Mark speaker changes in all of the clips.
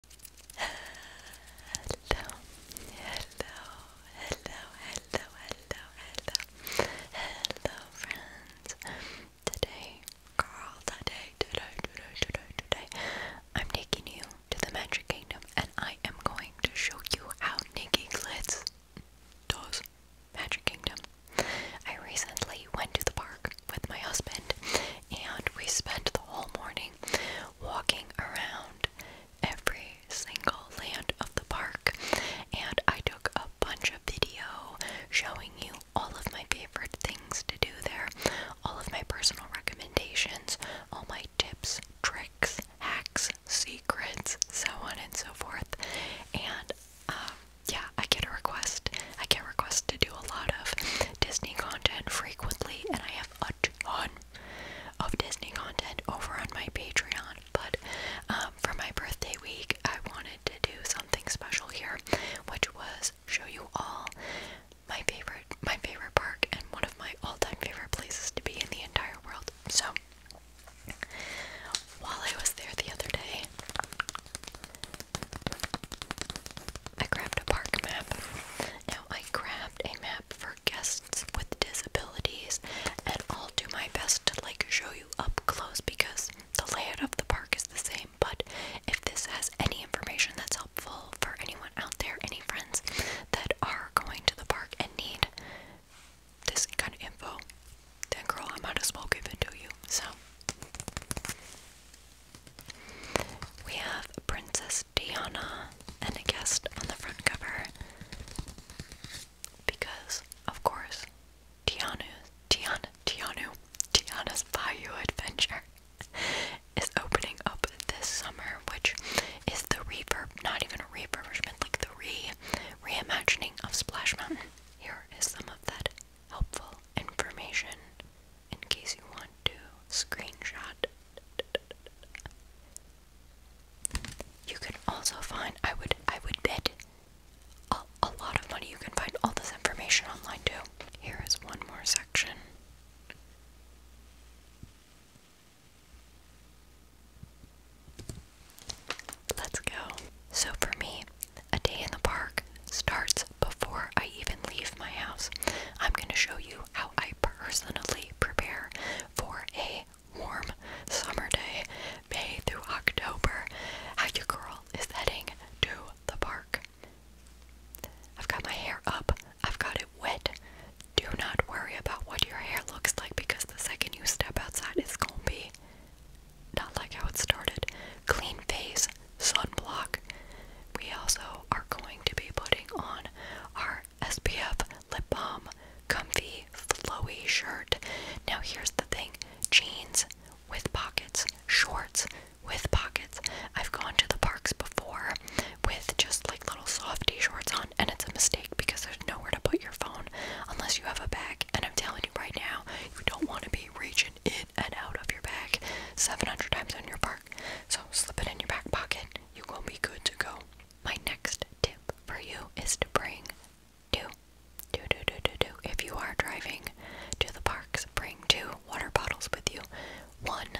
Speaker 1: hello, hello, hello, hello, hello, hello, friends. Today, girl, today, today, today, today, I'm taking you to the Magic Kingdom, and I am going to show you how Nikki Glitz does Magic Kingdom. I recently went to the park with my husband, and we spent the whole morning walking around every single land of the park and I took a bunch of video showing you all of my favorite things to do there, all of my personal recommendations, all my tips, tricks, hacks, secrets, so on and so forth. And um, yeah, I get a request. I get requests to do a lot of Disney content frequently, and I a ton of Disney content over on my Patreon, but um, for my birthday week, I wanted to do something special here, which was show you all my favorite my favorite park and one of my all-time favorite places to be in the entire world. So while I was there the other day, I grabbed a park map. I grabbed a map for guests with disabilities, and I'll do my best to like show you up close because the layout of the park is the same. But if this has any information that's helpful for anyone out there, any friends that are going to the park and need this kind of info, then girl, I am as well smoke it to you. So, we have Princess Diana and a guest on the front cover because, of course, Tianu, Tiana, Tianu, Tiana's Bayou Adventure is opening up this summer, which is the reverb, not even a refurbishment, like the re reimagining of Splash Mountain. Here is some of that helpful information in case you want to screenshot. You can also find I would I would bid a, a lot of money you can find all this information online too. Here is one more section. Let's go. So for me, a day in the park starts before I even leave my house, I'm going to show you how I personally prepare for a warm summer day, May through October, how your girl is heading to the park. I've got my hair up, I've got it wet. Do not worry about what your hair looks like because the second you step outside, it's going to be not like how it started. Clean face, sunblock. We also are going to be putting on our SPF lip balm comfy flowy shirt. Now here's the thing. Jeans with pockets, shorts with pockets. I've gone to the parks before with just like little softy shorts on and it's a mistake because there's nowhere to put your phone unless you have a bag and I'm telling you right now, you don't want to be reaching in and out of your bag 700 times in your park. So slip it in your back pocket. You will be good to go. My next tip for you is to bring two. If you are driving to the parks, bring two water bottles with you. One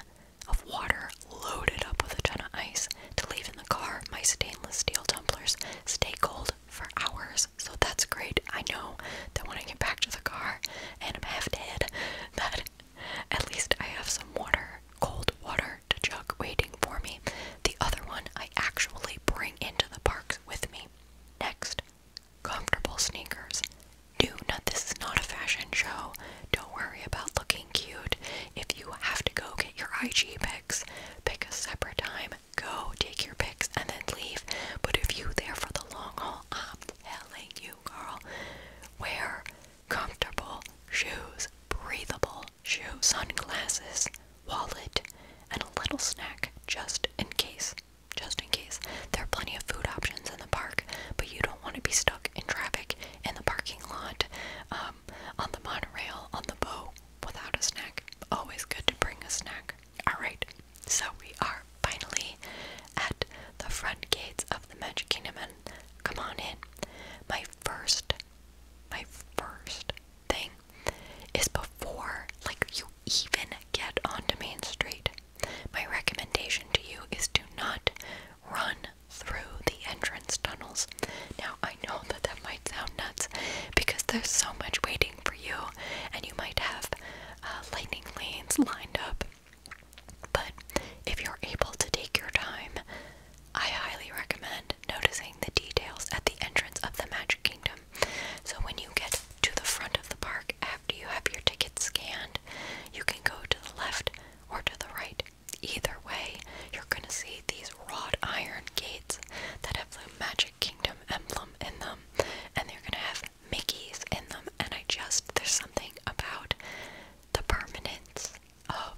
Speaker 1: of water loaded up with a ton of ice to leave in the car. My stainless steel tumblers stay cold for hours, so that's great. I know that when I get back to the car and I'm half dead, that at least I have some water, cold water to jug waiting for me. The other one I actually bring into the park with me. Next, comfortable sneakers. Do not, this is not a fashion show. Don't worry about looking cute. If you have to go get your IG pics, pick a separate time, go take your pics, and then leave. But if you there for the long haul, I'm telling you, girl, Wear comfortable shoes, breathable shoes, sunglasses, wallet, and a little snack just in case. Just in case. There are plenty of food options in the park, but you don't want to be stuck in traffic in the parking lot, um, on the monorail, on the boat without a snack. Always good to bring a snack. Alright, so we are finally at the front gates of the Magic Kingdom and come on in. My first my first thing is before like you even get onto Main Street. My recommendation to you is to not run through the entrance tunnels. Now, I know that that might sound nuts because there's so much waiting for you, and you might have uh, lightning lanes lined up but if you're able to take your time, I highly recommend noticing the details at the entrance of the Magic Kingdom. So when you get to the front of the park after you have your ticket scanned, you can go to the left or to the right. Either way, you're going to see these wrought iron gates that have the Magic Kingdom emblem in them, and they're going to have Mickeys in them, and I just, there's something about the permanence of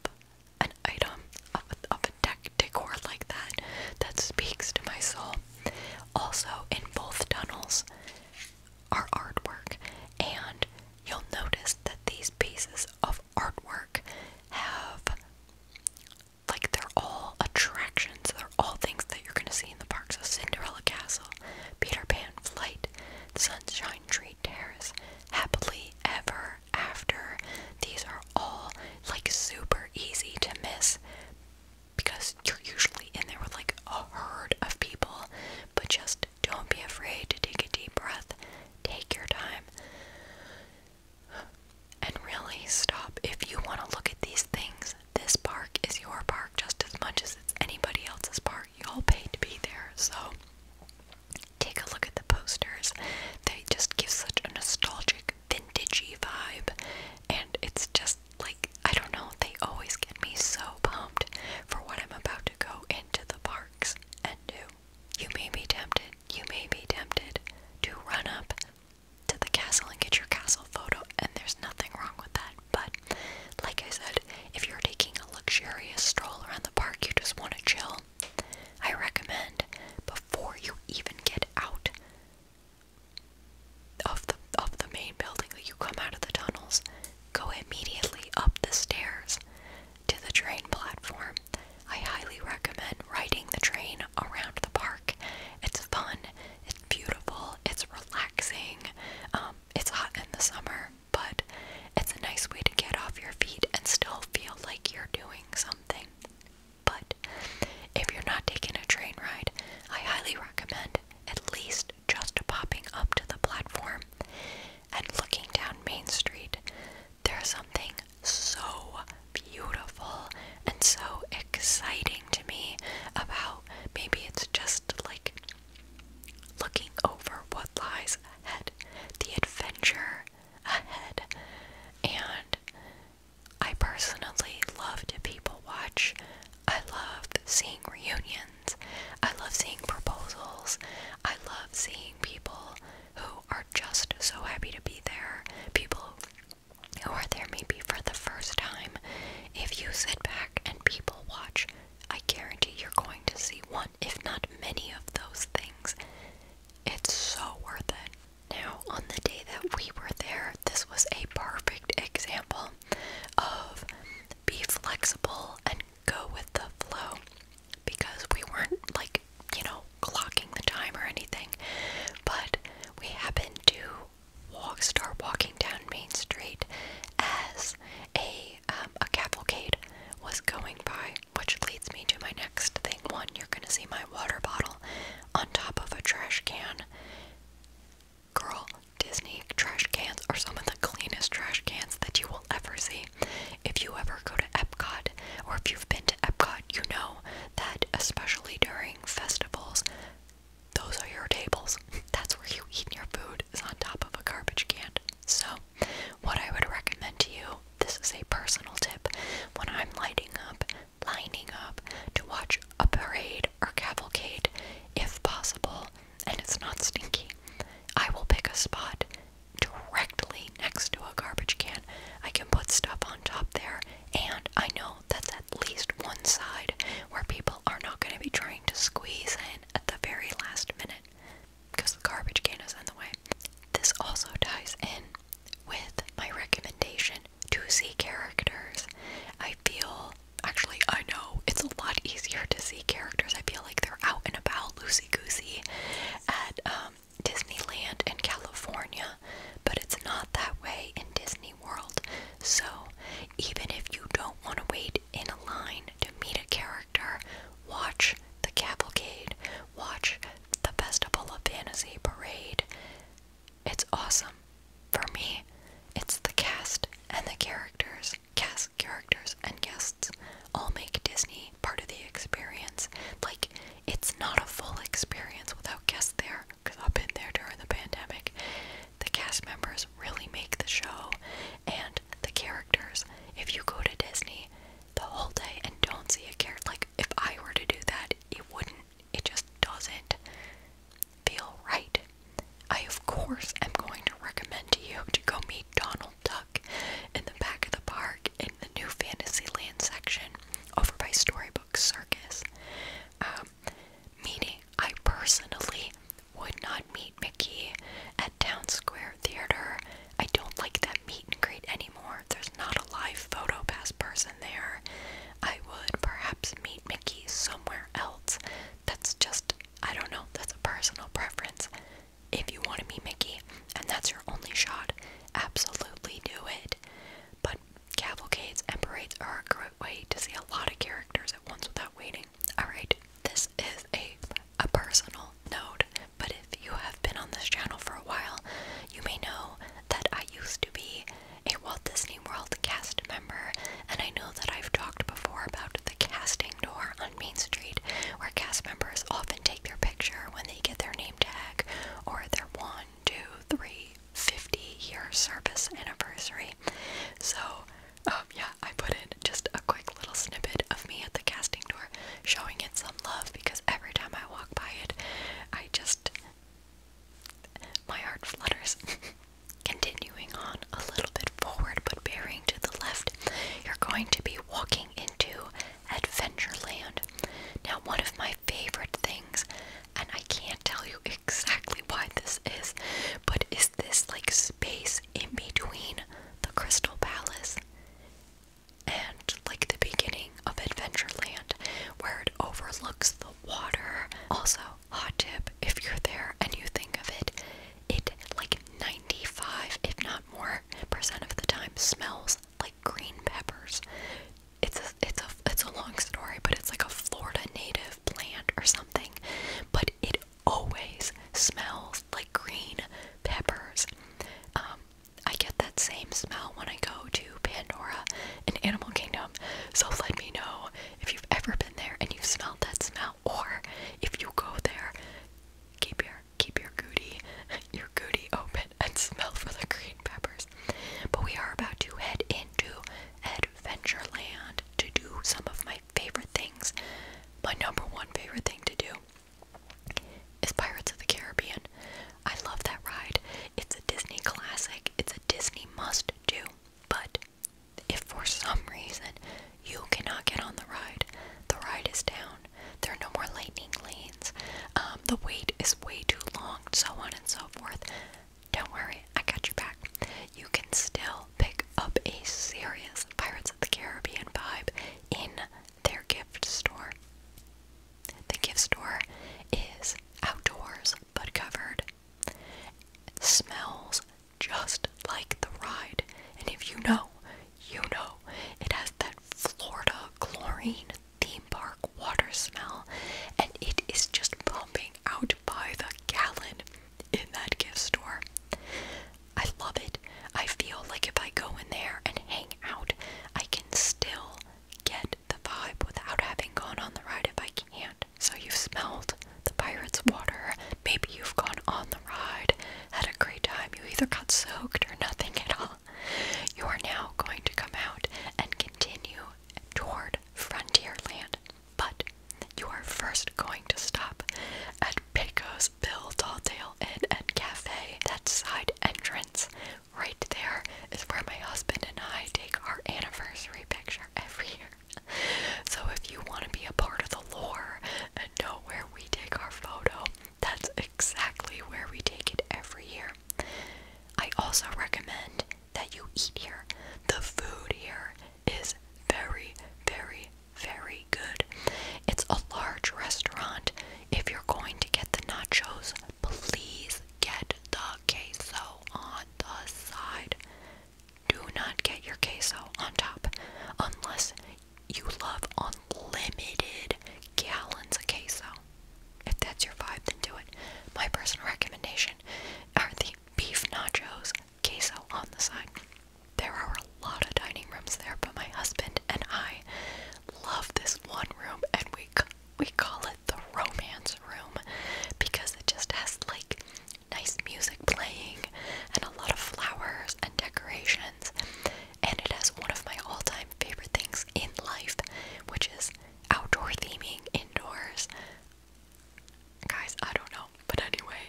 Speaker 1: an item, of a, of a deck decor like that, that speaks to my soul. Also, in both tunnels are artwork, and you'll notice that these pieces of artwork have like they're all attractions, they're all things that you're gonna see in the park. So Cinderella Castle, Peter Pan, Flight, Street, Sunshine Tree Terrace, Happily Ever After. These are all like super easy to miss because you're usually in there with like a herd of people, but just don't be afraid to take a deep breath, take your time, and really stop. If you want to look at these things, this park is your park just as much as it's anybody else's park. You all paid to be there, so take a look at the posters. They just give such a nostalgic, vintagey vibe, and it's just like I don't know. They always get me so pumped for what I'm about to go into the parks and do. You may be tempted. You may be tempted to run up to the castle and get your castle photo, and there's nothing wrong with that. But like I said, if you're taking a luxurious stroll around the park, you just want to chill, I recommend before you even get out of the of the main building that you come out of the tunnels, go immediately up the stairs to the train platform. I highly recommend riding the train around the park. It's fun, it's beautiful, it's relaxing. Um, um, it's hot in the summer, but it's a nice way to get off your feet and still feel like you're doing something. But if you're not taking a train ride, I highly recommend at least just popping up to the platform and looking down Main Street. There's something so beautiful and so exciting to me about maybe it's just like Looking over what lies ahead, the adventure ahead. And I personally love to people watch. I love seeing reunions. I love seeing proposals. I love seeing people who are just so happy to be there. People who are there maybe for the first time. If you sit back and people watch, I guarantee you're going to see one, if not many of those things. It's so worth it. Now, on the day that we were there, this was a perfect example of be flexible and go with the flow because we weren't like, you know, clocking the time or anything, but we happened to walk, start walking down Main Street as a um, a cavalcade was going by, which leads me to my next thing. One, you're gonna see my water bottle on top of a trash can. Girl, Disney trash cans are some of the cleanest trash cans that you will ever see. If you ever go to Epcot, or if you've been to Epcot, you know that especially during festivals, those are your tables. That's where you eat your food is on top of a garbage can. So, what I would recommend to you, this is a personal tip, when I'm lighting up, lining up to watch a parade or cavalcade, if possible, and it's not stinky, I will pick a spot directly next to a garbage can. I can put stuff on top there, and I know that's at least one side where people people are not going to be trying to squeeze in at the very last minute because the garbage can is in the way. This also ties in with my recommendation to see characters. I feel, actually, I know it's a lot easier to see characters. I feel like they're out and about loosey goosey at um, Disneyland in California, but it's not that way in Disney World. So, even if you don't want to wait in a line to meet a character, watch the cavalcade, watch the Festival of Fantasy parade. It's awesome. For me, it's the cast and the characters, cast characters and guests all make Disney part of the experience. Like, it's not a full experience without guests there, because I've been there during the pandemic. The cast members really make the show and the characters. If you go to Disney the whole day and don't see a character, like if I were to do that, it wouldn't, it just doesn't feel right. I, of course, am going to recommend to you to go meet Donald Duck in the back of the park in the new Fantasyland section over by Storybook Circus. Um, meaning I personally would not meet Mickey at Town Square Theater. I don't like that meet and greet anymore. There's not a live photo pass person there. I would perhaps meet Mickey somewhere else. That's just, I don't know, that's a personal preference. If you want to meet Mickey and that's your only shot, absolutely do it. But cavalcades and parades are a great way to see a lot of characters at once without waiting Alright, this is a, a personal note, but if you have been on this channel for a while, you may know that I used to be a Walt Disney World cast member, and I know that I've talked before about the casting door on Main Street, where cast members often take their picture when they get their name tag or their 1, 2, 3, 50 year service anniversary. So um, yeah, I put in just a quick little snippet of me at the casting door showing it some love because every time I walk by it, I just. My heart flutters. Continuing on a little bit forward but bearing to the left, you're going to be walking into Adventureland. Now, one of my favorite things, and I can't tell you exactly why this is, but is this like space in between the Crystal Palace and like the beginning of Adventureland where it overlooks the water? Also, hot tip if you're there and you think of it, it like 95, if not more, percent of the time smells like green peppers. It's a, it's a it's a long story, but it's like a Florida native plant or something but it always smells like green peppers. Um, I get that same smell when I go to Pandora and Animal Kingdom, so let me know if you've ever been there and you've smelled that smell, or if you go there, keep your keep your goody your goody open and smell for the green peppers. But we are about to head into Ed Adventureland to do some of my favorite things. My number one favorite thing to do is Pirates of the Caribbean. I love that ride. It's a Disney classic, it's a Disney must do. But if for some reason you cannot get on the ride, the ride is down. There are no more lightning lanes. Um, the wait is way too long, so on and so forth. Don't worry, I got your back. You can still pick up a serious Pirates of the Caribbean vibe in their gift store. The gift store is outdoors but covered. smells just like the ride. And if you know, you know, it has that Florida chlorine theme park water smell and it is just pumping out by the gallon in that gift store. I love it. I feel like if I go in there and hang out, I can still get the vibe without having gone on the ride if I can't. So you've smelled the pirate's water. Maybe you've gone on the ride, had a great time. You either got soaked or nothing at all. You are now going to come out and continue toward Frontierland. But you are first going to stop at Pico's Bill Talltale Inn and Cafe. That side entrance right there is where my husband and I take our anniversary picture every year. So if you want to be a part of the lore and know where we take our photo, that's exactly where we take it every year. I also recommend that you eat here. The food here is very, very, very good. It's a large restaurant. If you're going to get the nachos, please get the queso on the side. Do not get your queso on top unless you love unlimited gallons of queso. If that's your vibe, then do it. My personal recommendation are the beef nachos, queso on the side. There are a lot of dining rooms there, but my husband and I love this one room, and we we call it the romance room because it just has like nice music playing and a lot of flowers and decorations, and it has one of my all-time favorite things in life, which is outdoor theming indoors. Guys, I don't know. But anyway,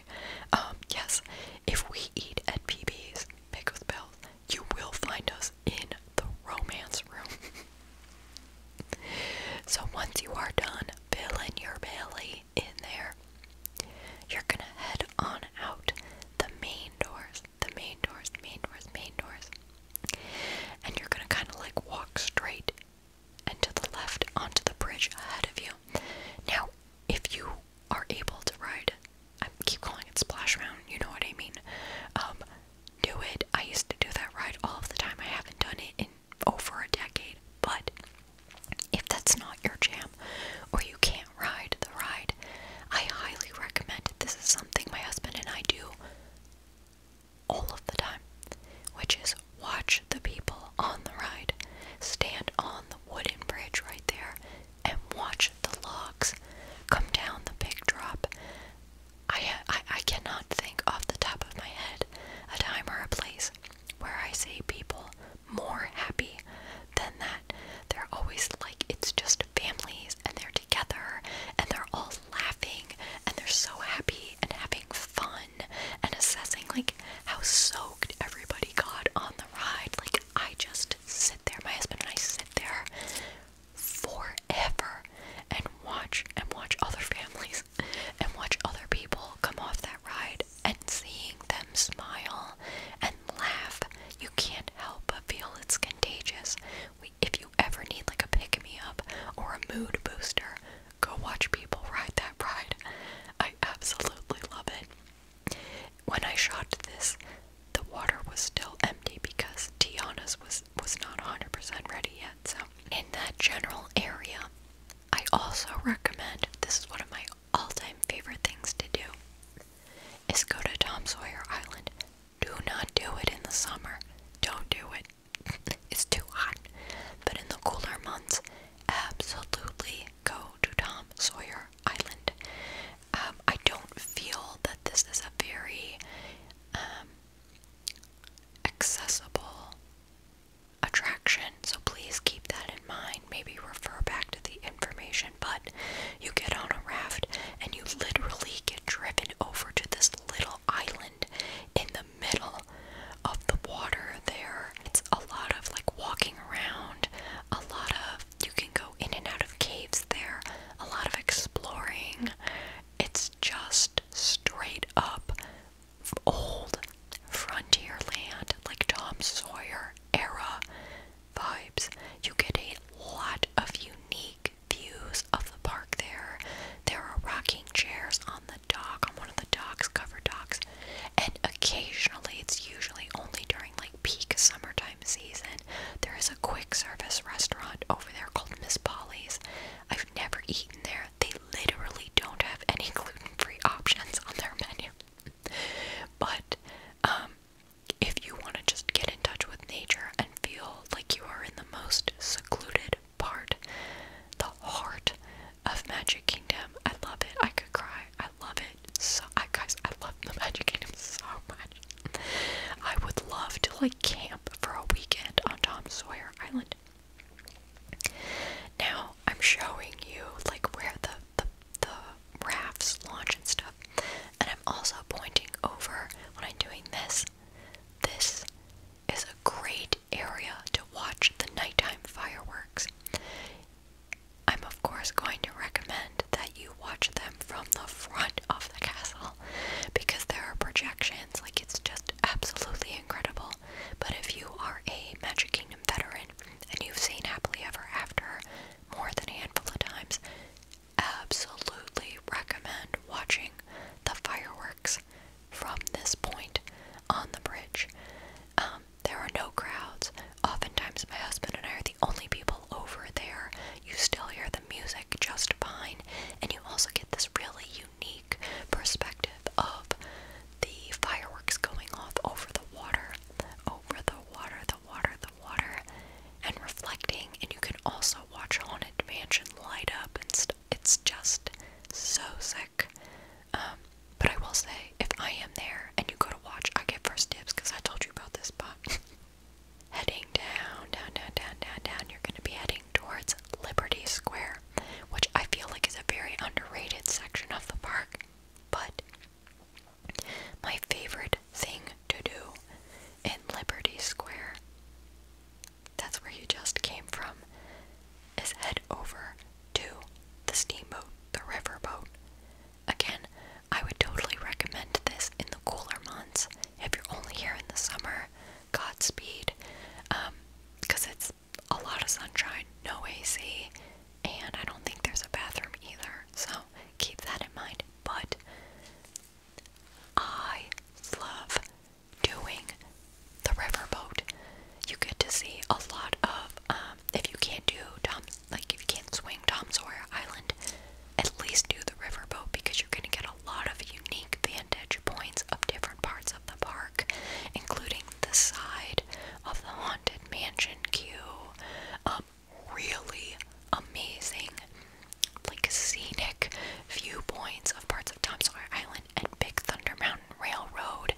Speaker 1: um, yes, if we eat at PB's, Pickles Bells, you will find us in the romance room. so once you are done filling your belly in there, you're gonna head on out the main doors, the main doors, the main doors, main doors. And you're gonna kind of like walk straight and to the left onto the bridge ahead of you. Now, if you are able to ride, I keep calling it Splash round. you know what I mean. Um, do it. I used to do that ride all of the time. I haven't done it in over a decade, but if that's not your jam or you can't ride the ride, I highly recommend This is something my husband and I do all of the time, which is watch the people on the ride. Stand on the wooden bridge right there and watch the logs come down the big drop. I, I, I cannot think off the top of my head a time or a place where I see people more happy than that. They're always like, it's just families and they're together and they're all laughing and they're so happy and having fun and assessing like how soaked everybody got on the ride. Like I just sit there, my husband and I sit there forever and watch and watch other families and watch other people come off that ride and seeing them smile and laugh. You can't help but feel it's contagious. if you ever need like a pick me up or a mood booster, Go watch people ride that ride. I absolutely love it. When I shot this, the water was still empty because Tiana's was was not 100% ready yet. So, in that general area, I also recommend this is one of my all-time favorite things to do is go to Tom Sawyer Island. Do not do it in the summer. Don't do it it's too hot. But in the cooler months, absolutely go to Tom Sawyer Island. Um, I don't feel that this is a very um, accessible attraction, so please keep that in mind. Maybe refer back to the information, but you get on a raft and you literally get driven over to this little island in the middle of the water there. It's a lot of like walking around, a lot of you can go in and out of caves there, a lot of exploring. It's just straight up old frontier land, like Tom Sawyer era vibes. You get a lot of unique views of the park there. There are rocking chairs on the dock, on one of the docks, covered docks, and occasionally, it's usually only during like peak summertime season, there is a quick service restaurant over there called Miss Polly's. I've never eaten there. They literally don't have any gluten-free options on their menu. But um, if you want to just get in touch with nature and feel like you are in the most secluded part, the heart of Magic Kingdom. I love it. I could cry. I love it. So, I guys, I love the Magic Kingdom so much. I would love to like camp for a weekend on Tom Sawyer Island. Now I'm showing you like where the the, the rafts launch and stuff, and I'm also pointing over when I'm doing this. This is a great area to watch the nighttime fireworks. I'm, of course, going to recommend that you watch them from the front of the castle because there are projections. Like, it's just absolutely incredible. But if you are a Magic Kingdom veteran and you've seen Happily Ever After more than a handful of times, absolutely recommend watching the fireworks from this point on the bridge. Um, there are no crowds. Oftentimes, my husband and I are the only people over there. You still hear the music just fine, and you also get this really unique perspective of the fireworks going off over the water, over the water, the water, the water, and reflecting. And you can also watch Haunted Mansion light up and stuff it's just so sick. Um, but I will say, if I am there and you go to watch, I get first dibs because I told you about this spot. heading down, down, down, down, down, down, you're gonna be heading towards Liberty Square, which I feel like is a very underrated section of the park. But my favorite thing to do in Liberty Square that's where you just came from, is head over to the steamboat, the riverboat. Again, I would totally recommend this in the cooler months. If you're only here in the summer, Godspeed. Um, because it's a lot of sunshine, no AC, and I don't think there's a bathroom either, so keep that in mind. But I love doing the riverboat. You get to see a lot of, um, if you can't do Tom, like if you can't swing Tom Sawyer Island, at least do the riverboat because you're going to get a lot of unique vantage points of different parts of the park, including the side of the haunted mansion queue. Um, really amazing, like scenic viewpoints of parts of Tom Sawyer Island and Big Thunder Mountain Railroad.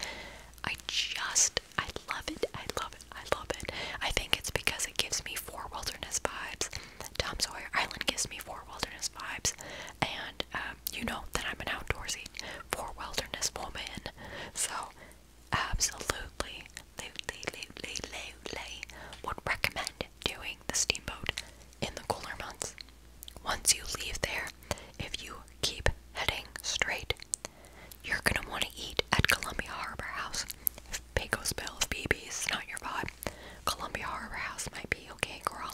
Speaker 1: I just, I love it. I love it. I love it. I think it's because it gives me four wilderness vibes. Tom Sawyer Island gives me four wilderness vibes. And um, you know that I'm an outdoorsy four wilderness woman. So, absolutely, absolutely, absolutely would recommend doing the steamboat in the cooler months. Once you leave there, if you keep heading straight, you're gonna want to eat at Columbia Harbor House. If Pecos Bill, if not your vibe, Columbia Harbor House might be okay, girl.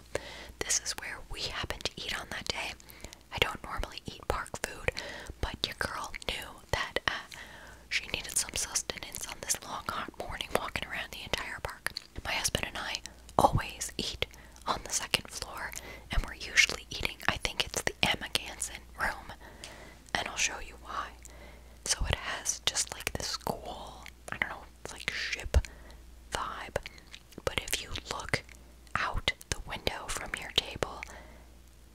Speaker 1: This is where we happened to eat on that day. I don't normally eat park food, but your girl knew that uh, she needed some sustenance on this long, hot morning walking around the entire park. My husband and I always eat on the second floor, and we're usually eating, I think it's the Emma room, and I'll show you why. So it has just like this cool, I don't know, like ship vibe. But if you look out the window from your table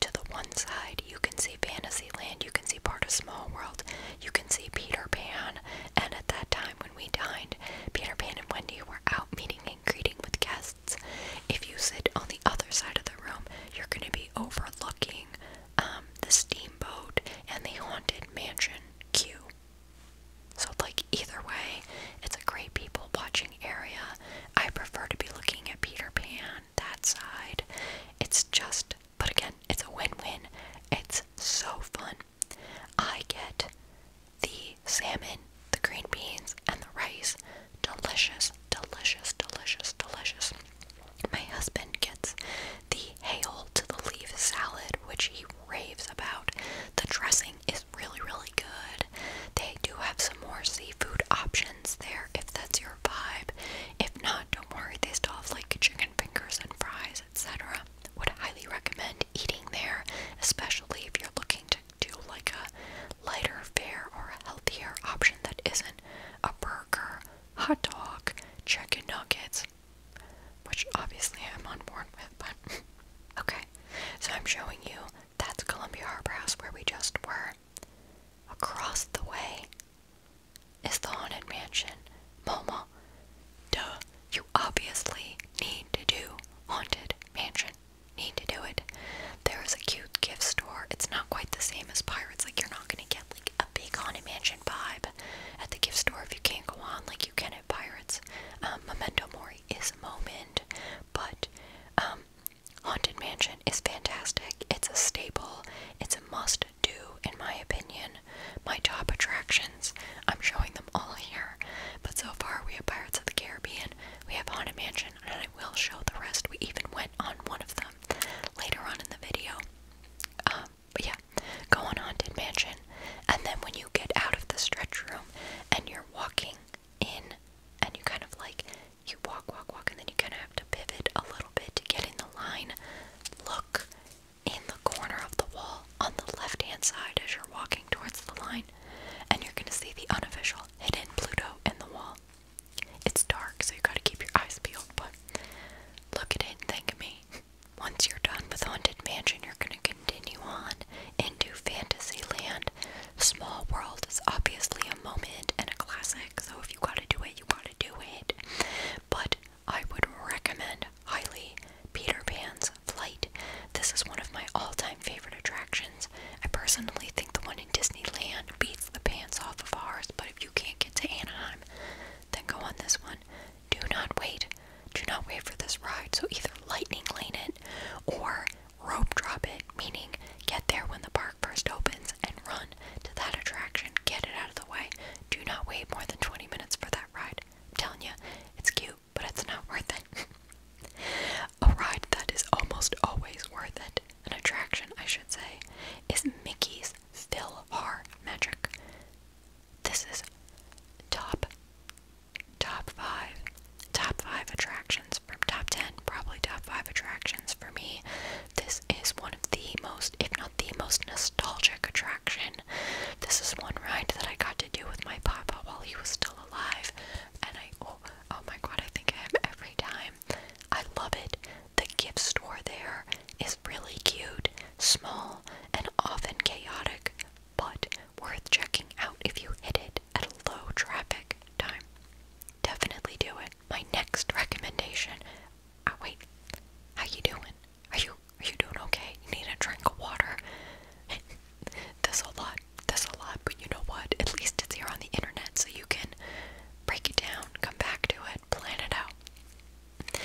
Speaker 1: to the one side, you can see Fantasyland, you can see part of Small World, you can see Peter Pan, and at that time we dined, Peter Pan and Wendy were out meeting and greeting with guests. If you sit on the other side of the room, you're going to be overlooking um, the steamboat and the haunted mansion queue. So, like, either way, it's a great people watching area. I prefer to be looking at Peter Pan, that side. It's just, but again, it's a win win. It's so fun I get the salmon, the green beans, and the rice. Delicious, delicious, delicious, delicious. My husband gets the hail to the leaf salad, which he raves about. The dressing is really, really good. They do have some more seafood options there if that's your vibe. If not, don't worry, they still have like chicken fingers and fries, etc would highly recommend eating there, especially if you're looking to do like a lighter fare or a healthier option that isn't a burger, hot dog, chicken nuggets, which obviously I'm on board with, but okay. So I'm showing you that's Columbia Harbor House where we just were. Across the way is the Haunted Mansion. MoMA Duh, you obviously need to do Haunted Mansion. Need to do it. There is a cute gift store. It's not quite the same as Pirates. Like, you're not gonna get like a big Haunted Mansion vibe at the gift store if you can't go on like you can at Pirates. Um, Memento Mori is a moment, but um, Haunted Mansion is fantastic. It's a staple. It's a must do in my opinion, my top attractions. I'm showing them all here, but so far we have Pirates of the Caribbean, we have Haunted Mansion, and I will show the rest. We even went on one of them later on in the video. Um, but yeah, go on Haunted Mansion, and then when you get out of the stretch room and you're walking in, and you kind of like you walk, walk, walk, and then you kind of have to pivot a little bit to get in the line. Look in the corner of the wall on the left hand side as you're walking towards the line, and you're going to see the unofficial hidden Pluto in the wall. It's dark, so you gotta keep your eyes peeled, but look at it and think of me. Once you're done with Haunted Mansion, you're gonna continue on into Fantasyland. Small World is obviously a moment and a classic, so if you gotta do it, you gotta do it. But I would recommend highly Peter Pan's Flight. This is one of my all time favorite attractions. I personally think the one in Disneyland beats the pants off of ours, but if you can't get to Anaheim, then go on this one. Do not wait. Do not wait for this ride. So either lightning lane it or rope drop it, meaning get there when the park first opens and run to that attraction. Get it out of the way. Do not wait more than 20 minutes for that ride. I'm telling you, it's cute, but it's not worth it. a ride that is almost always worth it, an attraction, I should say, is Mickey's Philhar Magic. This is top, top five, top five attractions from top ten, probably top five attractions for me. This is one of the most, if not the most nostalgic attraction this is one ride that I got to do with my papa while he was still alive. And I, oh, oh my god, I think I am every time. I love it. The gift store there is really cute, small, and often chaotic, but worth checking out if you hit it at a low traffic time. Definitely do it. My next recommendation. Oh wait, how you doing? Are you are you doing okay? You need a drink of water. this a lot, this a lot, but you know what? At least it's here on the internet, so you can break it down, come back to it, plan it out.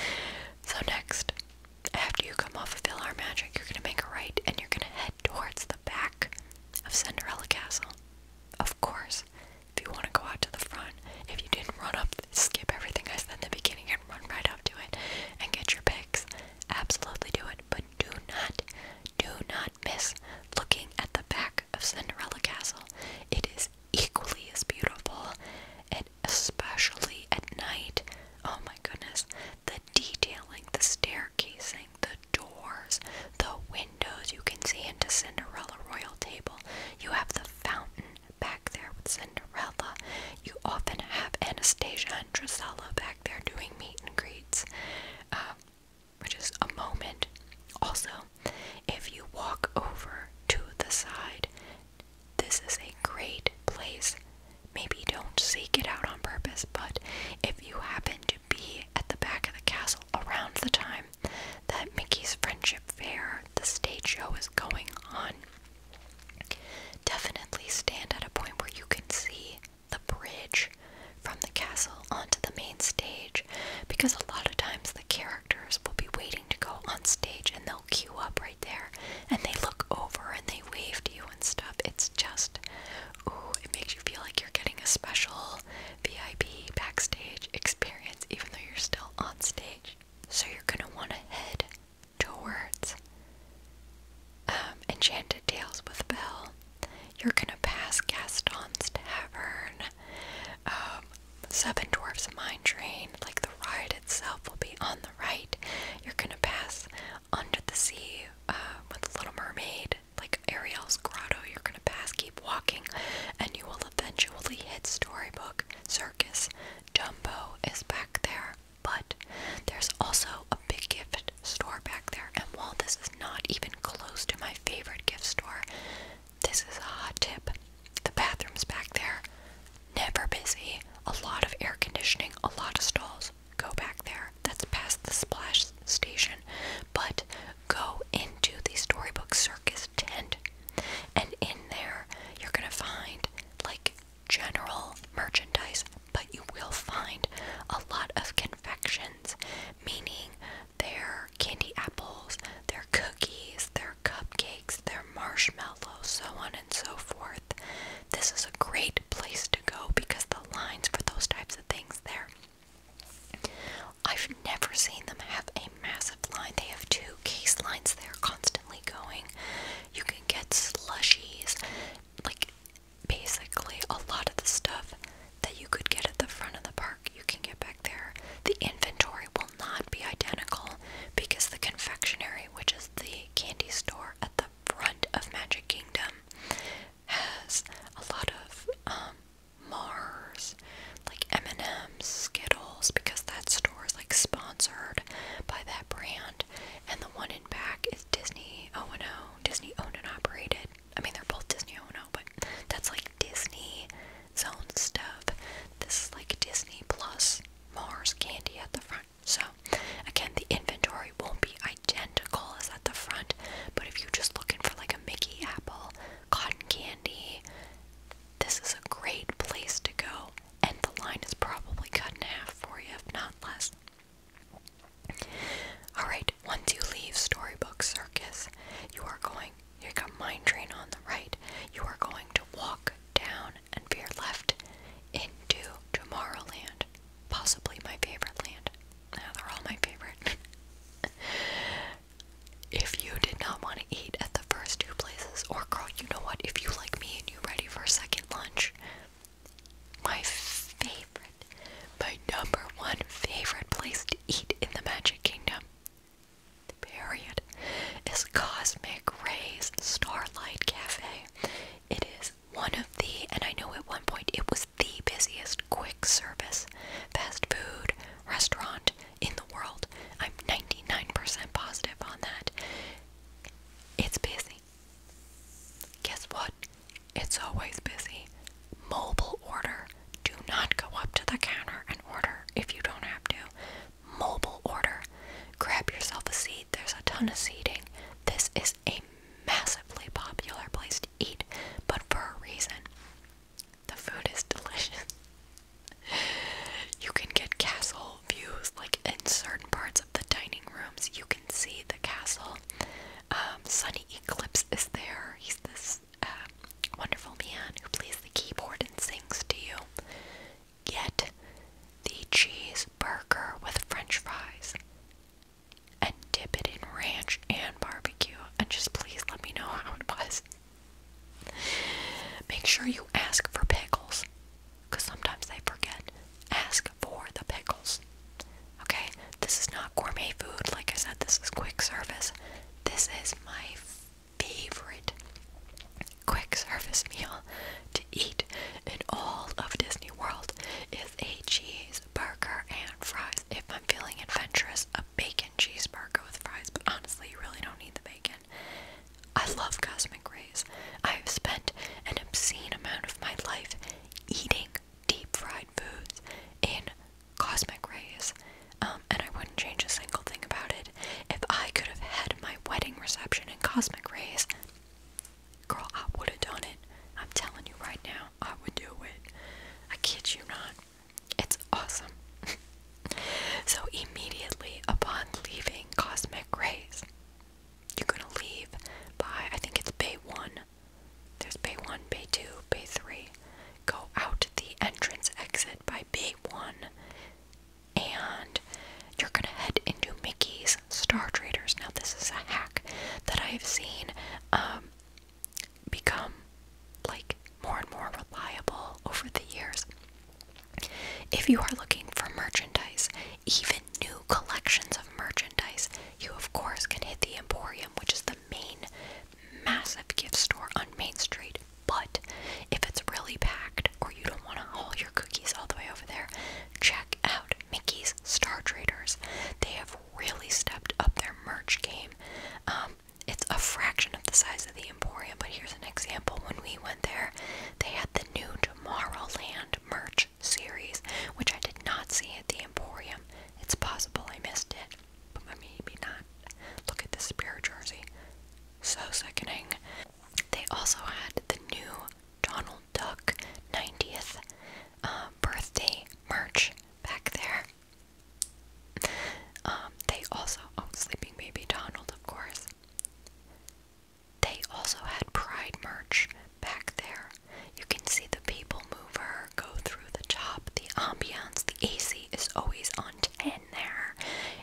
Speaker 1: So next, after you come off of Villar Magic, you're gonna make a right and you're gonna head towards the back of Cinderella Castle. Of course, if you want to go out to the front, if you didn't run up skip everything I said in the beginning and run right up to it and get your pics. absolutely do it. But do not, do not miss looking at the back of Cinderella Castle. It is equally as beautiful, and especially at night. Oh my goodness, the detailing, the staircasing, the doors, the windows you can see into Cinderella Royal Table. You have the fountain back there with Cinderella. You often have Anastasia and Drisella back there doing meet and greets, um, which is a moment. Also, if you walk over to the side, this is a great place. Maybe don't seek it out on purpose, but if you happen to be at the back of the castle around the time that Mickey's Friendship Fair, the stage show, is going on, Definitely stand at a point where you can see the bridge from the castle onto the main stage because a lot of times the characters will be waiting to go on stage and they'll queue up right there and they look over and they wave to you and stuff. It's just, ooh, it makes you feel like you're getting a special VIP backstage experience even though you're still on stage. So you're gonna wanna head towards um, Enchanted Tales with Belle. You're gonna pass Gaston's Tavern, um, Seven Dwarfs Mine Train, like the ride itself will be on the right. You're gonna pass Under the Sea uh, with Little Mermaid, like Ariel's Grotto. You're gonna pass, keep walking, and you will eventually hit Storybook Circus, Jumbo is back there, but there's also a big gift store back there. And while this is not even close to my favorite gift store, this is a hot tip. The bathrooms back there, never busy. A lot of air conditioning, a lot of stalls. Go back there. That's past the splash station. But go into the storybook circus tent, and in there, you're gonna find like general merchandise, but you will find a lot of confections, meaning their candy apples, their cookies, their cupcakes, their marshmallows, so on and so forth. This is a great place to go because the lines for those types of things there. I've never seen them have a massive line. They have two case lines there constantly going. You can get slushies, like basically a lot of the stuff that you could get at the front of the park, you can get back there. The inventory will not be identical because the confectionery, which is the candy store at the front of Magic Kingdom, has a lot of um, Mars, like M&M um, Skittles because that store is like sponsored by that brand, and the one in back is Disney O&O, Disney owned and operated. I mean, they're both Disney O&O, but that's like Disney zone stuff. This is like Disney plus Mars candy at the front. So, again, the inventory won't be identical as at the front, but if you're just looking for like a Mickey apple, cotton candy, this is a great place to go and the line is probably cut in half for you, if not less. Alright, once you leave Storybook Circus, you are going, you got Mine Train on the right, you are going to walk down and veer left into Tomorrowland. Possibly my favorite land. Now they're all my favorite. if you did not want to eat at the first two places, or girl, you know what? If you like me and ready for second lunch? My favorite, my number one favorite place to eat in the Magic Kingdom, period, is Cosmic Rays Starlight Cafe. It is one of the, and I know at one point it was the busiest quick service fast food restaurant in the world. I'm 99% positive on that. It's busy. Guess what? It's always busy. Mobile order. Do not go up to the counter and order if you don't have to. Mobile order. Grab yourself a seat. There's a ton of seating. This is a massively popular place to eat, but for a reason. The food is delicious. You can get castle views, like in certain parts of the dining rooms, you can see the castle. Um, Sunny Eclipse is there. He's this uh, wonderful man who plays the keyboard and sings to you. Get the cheeseburger with French fries and dip it in ranch and barbecue. And just please let me know how it was. Make sure you ask for pickles because sometimes they forget. Ask for the pickles. Okay? This is not gourmet food. Like I said, this is quick service. This is my favorite quick service meal to eat in all of Disney World is a cheeseburger and fries. If I'm feeling adventurous, a bacon cheeseburger with fries, but honestly, you really don't need the bacon. I love cosmic rays. I have spent an obscene amount of my life eating deep fried foods in cosmic rays, um, and I wouldn't change a single thing about it. If I could have had my wedding reception in cosmic rays, girl, I would have done it. I'm telling you right now, I would do it. I kid you not. It's awesome. So, immediately upon leaving cosmic rays, you're going to leave by, I think it's Bay 1. There's Bay 1, Bay 2, Bay 3. Go out the entrance exit by Bay 1, and you're going to head into Mickey's Star Traders. Now, this is a hack that I've seen um, become like more and more reliable over the years. If you are looking for merchandise, even new collections of merchandise, you of course can hit the Emporium, which is the main massive gift store on Main Street. But if it's really packed or you don't want to haul your cookies all the way over there, check out Mickey's Star Traders. They have really stepped up their merch game. Um, it's a fraction of the size of the Emporium, but here's an example. When we went there, they had the new Tomorrowland merch series, which I did not see at the Emporium. It's possible I missed it, but maybe not. Look at this spirit jersey. So sickening. They also had the new Donald Duck 90th uh, birthday merch back there. Um, they also, oh, Sleeping Baby Donald, of course. They also had Pride merch back there. You can see the people mover go through the top, the ambiance, the AC is always on 10 there.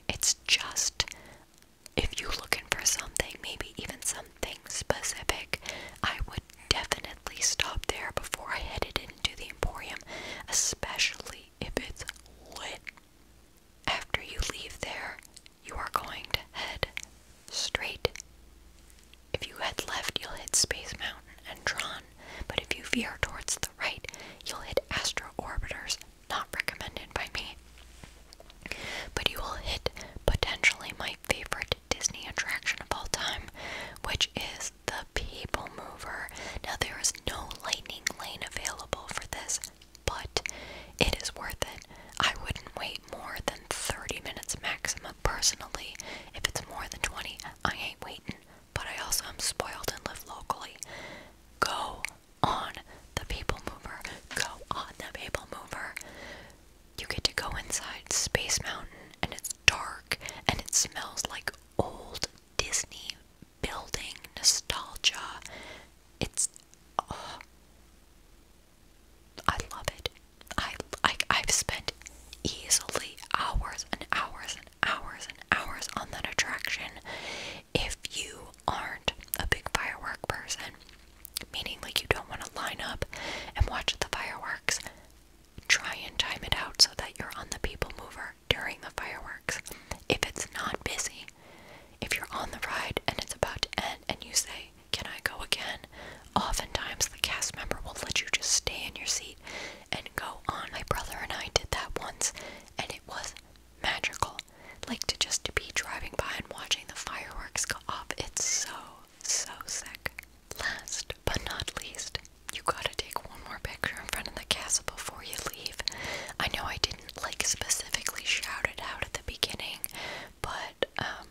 Speaker 1: It's just if you're looking for something, maybe even something specific, I would definitely stop there before I headed into the Emporium, especially if it's lit. After you leave there, you are going to head straight. If you head left, you'll hit Space Mountain and Tron, but if you veer towards the right, you'll hit Astro Orbiters, not recommended by me. But you will hit potentially my favorite Disney attraction of all time, which is the People Mover. Now, there is no lightning lane available for this, but it is worth it. I wouldn't wait more than 30 minutes maximum personally. If it's more than 20, I ain't waiting, but I also am spoiled and live locally. Go on the People Mover. Go on the People Mover. You get to go inside Space Mountain and it's dark and it smells like old Disney building nostalgia. It's oh, I love it. I like I've spent easily hours and hours and hours and hours on that attraction. If you aren't a big firework person, meaning like you don't want to line up and watch the fireworks, try and time it out so that you're on the people mover during the fireworks if it's not busy. If you're on the ride and it's about to end and you say, Can I go again? Oftentimes the cast member will let you just stay in your seat and go on. My brother and I did that once and it was magical. Like to just be driving by and watching the fireworks go off. It's so, so sick. Last but not least, you gotta take one more picture in front of castle before you leave. I know I didn't like specifically shout it out at the beginning, but um,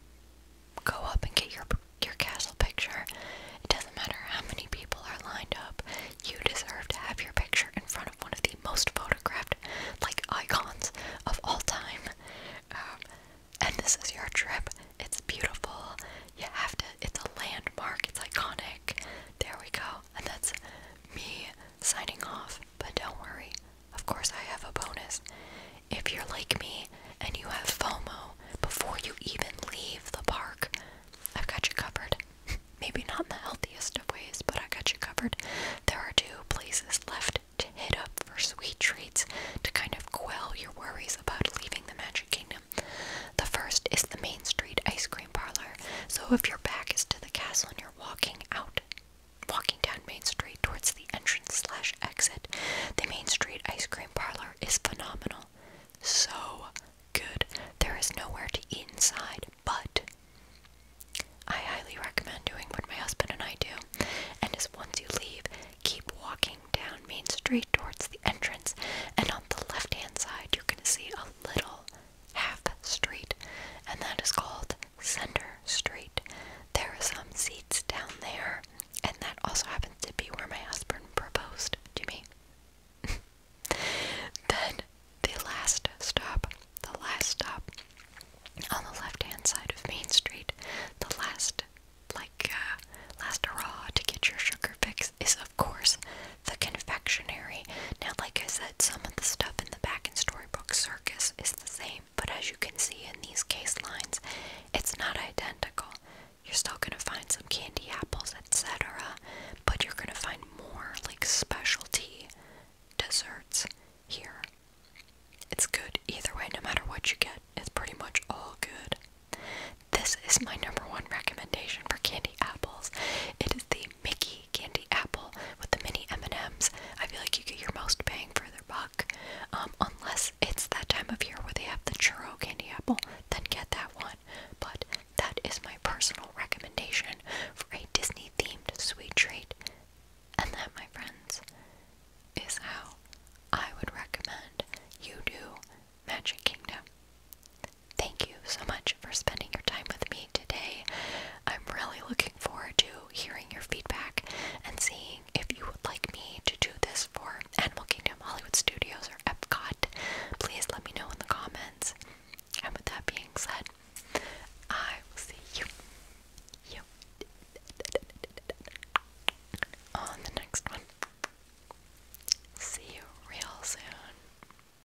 Speaker 1: go up and get your your castle picture. It doesn't matter how many people are lined up. You deserve to have your picture in front of one of the most photographed like icons of all time. Um, and this is your trip. It's beautiful. You have to. It's a landmark. It's iconic. There we go. And that's me signing off, but don't worry. Of course, I have a bonus. If you're like me and you have FOMO before you even leave the park, I've got you covered. Maybe not the healthiest of ways, but I got you covered. There are two places left to hit up for sweet treats to kind of quell your worries about leaving the Magic Kingdom. The first is the Main Street Ice Cream parlor. So if your back is to the castle and you're walking out, walking down Main Street towards the entrance slash exit, the Main Street ice cream parlor is phenomenal. So good. There is nowhere to eat inside, but I highly recommend doing what my husband and I do, and is once you leave, keep walking down Main Street towards the entrance, and on the left hand side, you're going to see a little half street, and that is called Center Street. There are some seats down there, and that also happens to be where my husband proposed to me. then the last stop, the last stop on the left hand side of Main Street, the last like uh, last hurrah to get your sugar fix is of course the confectionery. Now, like I said, some of the stuff in the back and storybook circus is the same, but as you can see in these case lines, it's not identical. You're still gonna find some candy apples, etc., but you're gonna find more like specialty desserts here. It's good either way, no matter what you get, it's pretty much all good. This is my number one recommendation for candy apples. It is the Mickey candy apple with the mini M&Ms. I feel like you get your most bang for their buck, um, unless it's that time of year where they have the churro candy apple. Then get that one. But that is my personal recommendation for a Disney themed sweet treat. And that, my friends, is how I would recommend you do Magic Kingdom. Thank you so much for spending your time with me today. I'm really looking forward to hearing your feedback and seeing if you would like me to do this for Animal Kingdom, Hollywood Studios, or Epcot. Please let me know in the comments. And with that being said, I will see you, on the next one. See you real soon.